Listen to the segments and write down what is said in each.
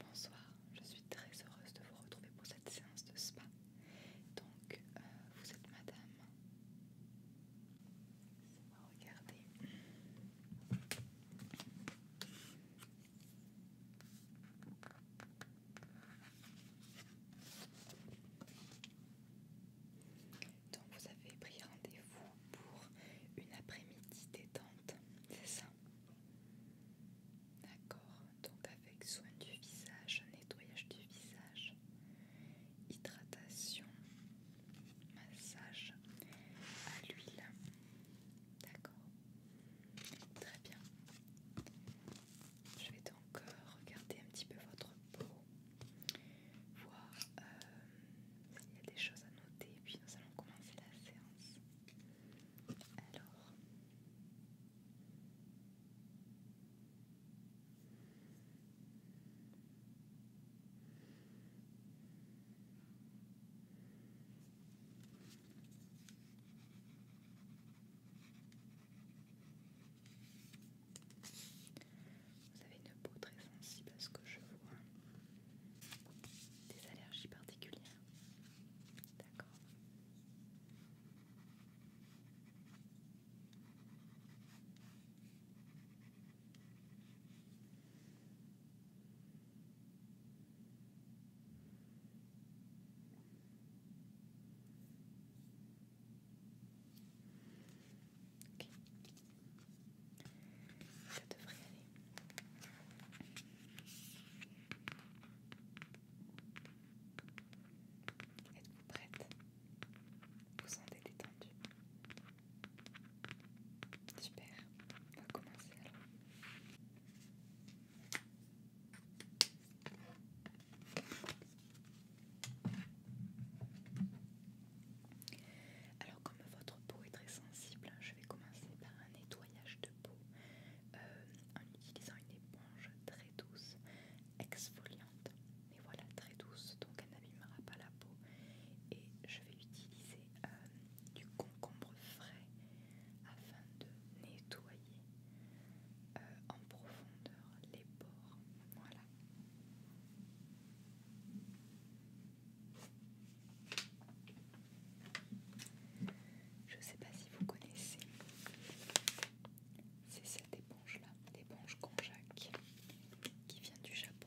Bonsoir, je suis très heureuse de vous retrouver pour cette séance de spa. Donc, euh, vous êtes madame. laissez regarder. Donc, vous avez pris rendez-vous pour une après-midi détente, c'est ça D'accord, donc avec soin du visage, nettoyage du visage, hydratation, massage à l'huile. D'accord, très bien. Je vais donc euh, regarder un petit peu votre peau, voir euh, s'il y a des choses à noter, puis nous allons commencer la séance. Alors. Vous avez une peau très sensible à ce que je vois. Des allergies particulières. D'accord. Ok. Ça devrait Êtes-vous prête Vous sentez détendu Super, on va commencer alors. Alors comme votre peau est très sensible, je vais commencer par un nettoyage de euh, en utilisant une éponge très douce, exfoliante, mais voilà très douce donc elle n'abîmera pas la peau. Et je vais utiliser euh, du concombre frais afin de nettoyer euh, en profondeur les pores. Voilà. Je ne sais pas si vous connaissez. C'est cette éponge-là, l'éponge konjac, qui vient du Japon.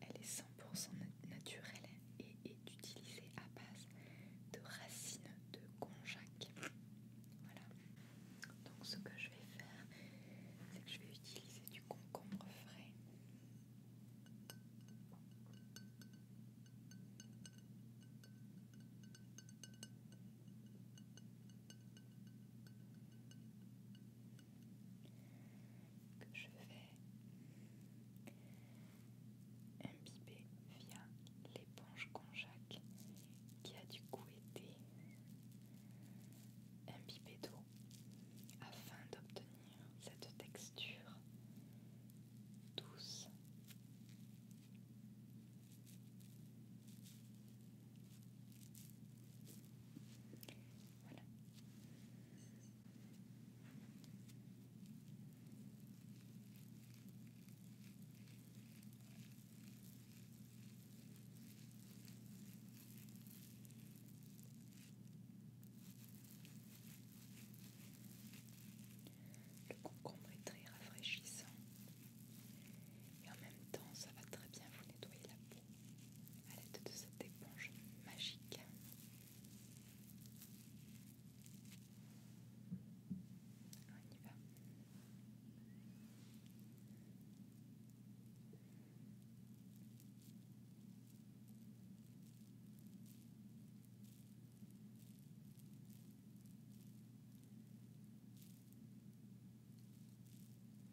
Elle est 100% naturelle et est utilisée à base de racines de conjac. Voilà. Donc ce que je vais faire, c'est que je vais utiliser du concombre frais que je vais imbiber via l'éponge conjac qui a du coup été imbibée d'eau afin d'obtenir cette texture douce. Voilà. Le concombre est très rafraîchissant et en même temps ça va très bien vous nettoyer la peau à l'aide de cette éponge magique. On y va.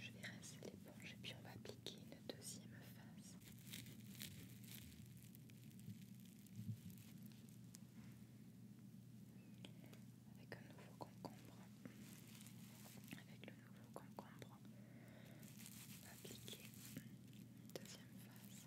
Je vais rincer l'éponge et puis on va appliquer une deuxième phase. Avec un nouveau concombre. Avec le nouveau concombre, on va appliquer une deuxième phase.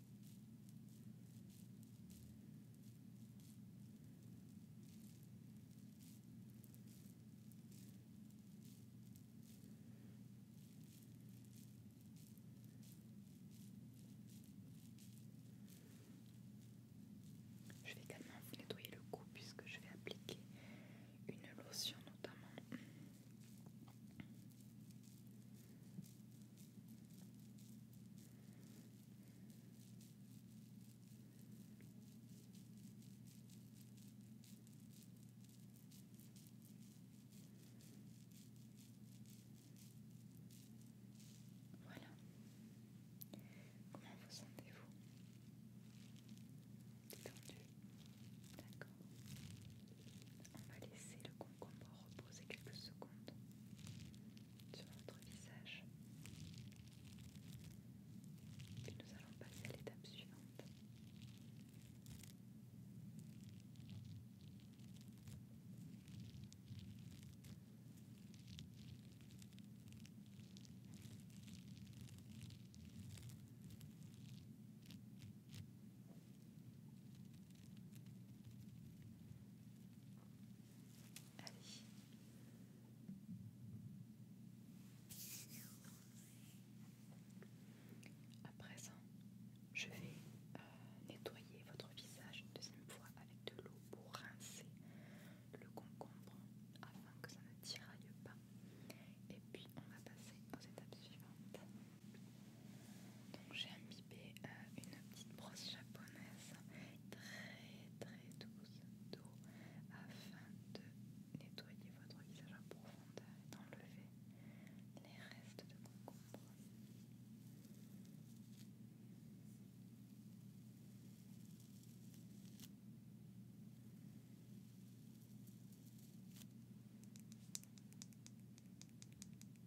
Je vais également vous nettoyer le cou puisque je vais appliquer une lotion notamment. Voilà. Comment vous sentez-vous Détendu D'accord. On va laisser le concombre reposer quelques secondes sur notre visage. nous allons passer à l'étape suivante. Allez. À présent, je vais euh, nettoyer votre visage une deuxième fois avec de l'eau pour rincer le concombre afin que ça ne tiraille pas. Et puis on va passer aux étapes suivantes. Donc j'ai imbibé euh, une petite brosse japonaise très très douce d'eau afin de nettoyer votre visage en profondeur et d'enlever les restes de concombre.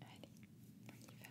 Allez, on y va.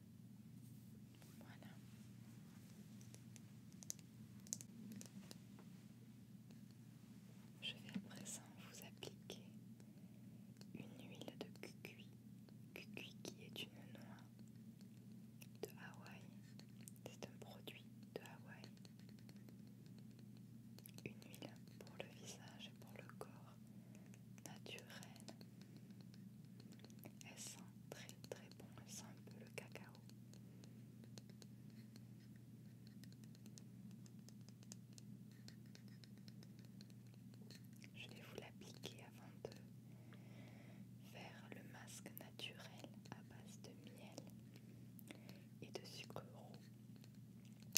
Voilà. Je vais à présent vous appliquer une huile de Kukui, cucuy qui est une noix de Hawaï. C'est un produit de Hawaï. Une huile pour le visage et pour le corps naturel. Elle sent très très bon, elle sent un peu le cacao. Je vais vous l'appliquer avant de faire le masque naturel à base de miel et de sucre roux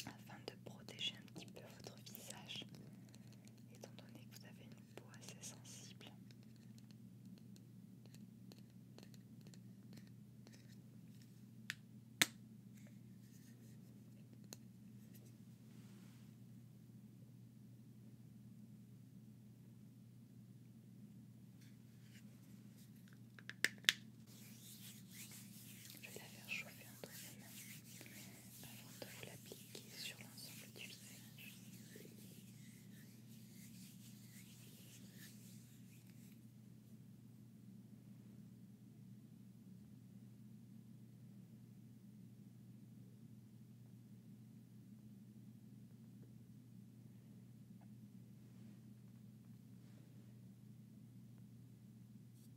afin de protéger un petit peu votre visage étant donné que vous avez une peau assez sensible. Je vais la faire chauffer avant de vous l'appliquer sur l'ensemble du visage.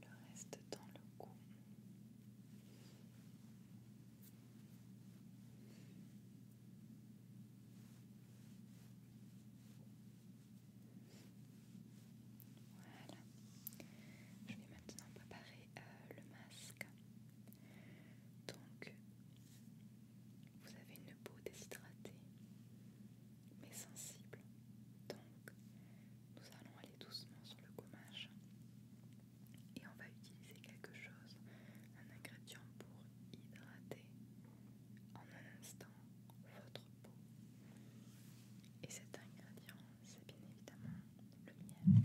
Le reste dans le cou. Voilà. Je vais maintenant préparer euh, le masque. Donc, vous avez une peau déshydratée mais sensible. Donc, nous allons aller doucement sur le gommage et on va utiliser quelque chose, un ingrédient pour hydrater en un instant votre peau. Et cet ingrédient, c'est bien évidemment le miel.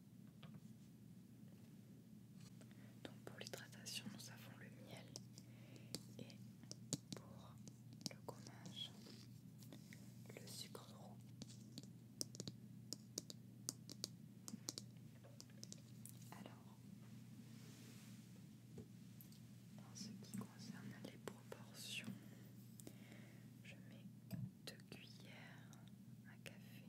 Donc pour l'hydratation, nous avons le miel et pour le gommage, le sucre roux. Alors, en ce qui concerne les proportions, je mets deux cuillères à café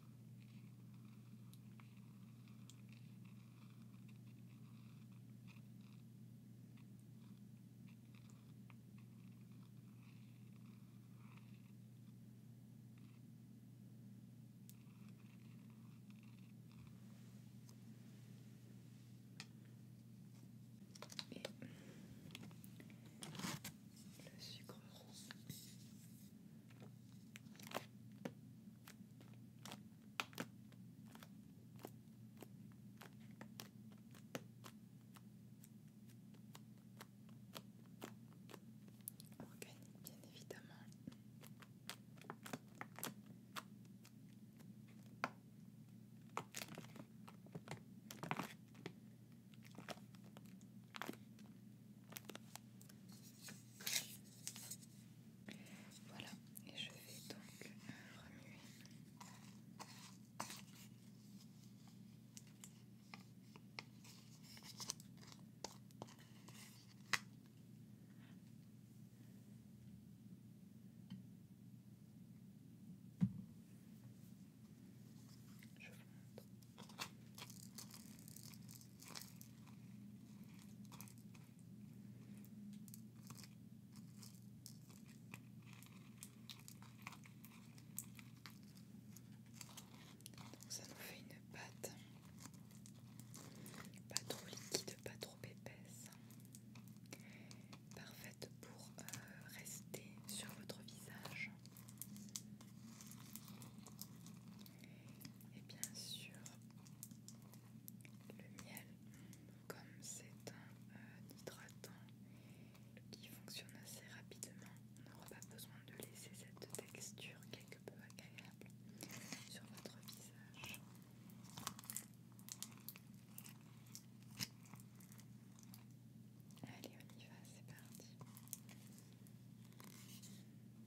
Et le sucre roux Organique, bien évidemment. Voilà, et je vais donc remuer ça nous fait une pâte pas trop liquide, pas trop épaisse, parfaite pour euh, rester sur votre visage. Et bien sûr, le miel, comme c'est un euh, hydratant qui fonctionne assez rapidement, on n'aura pas besoin de laisser cette texture quelque peu agréable sur votre visage. Allez, on y va, c'est parti.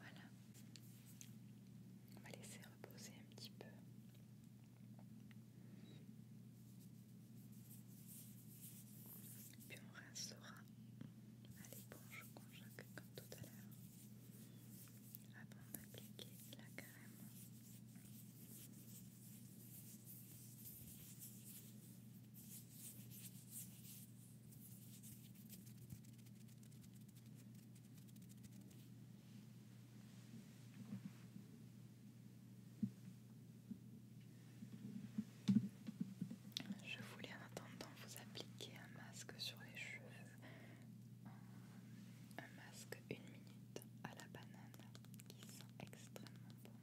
Voilà. On va laisser reposer un petit peu. Puis on restera à l'éponge qu'on comme tout à l'heure avant d'appliquer la crème. Je voulais en attendant vous appliquer un masque sur les cheveux, un, masque une minute à la banane qui sent extrêmement bon.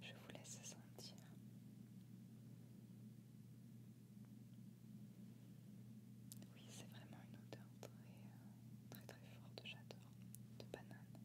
Je vous laisse sentir. Oui, c'est vraiment une odeur très euh, très, forte, j'adore, de banane.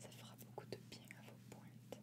Ça fera beaucoup de bien à vos pointes.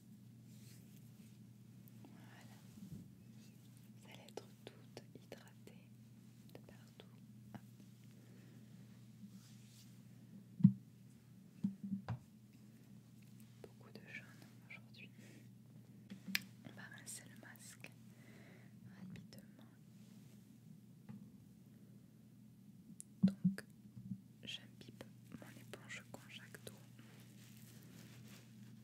Voilà. Vous allez être toute hydratée de partout. Beaucoup de jaune aujourd'hui. On va rincer le masque rapidement. Donc, j'imbibe mon éponge d'eau.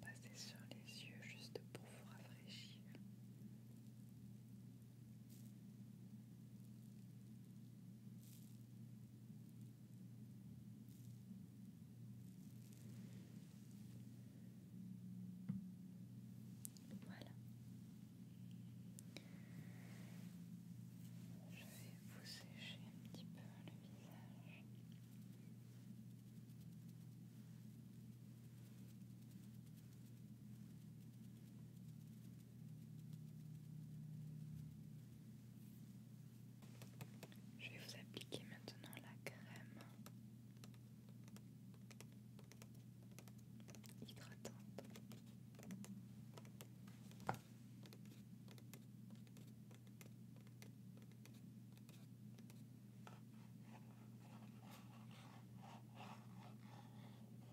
Passez sur les yeux juste pour vous rafraîchir. Voilà. Je vais vous sécher un petit peu le visage. Je vais vous appliquer maintenant la crème hydratante.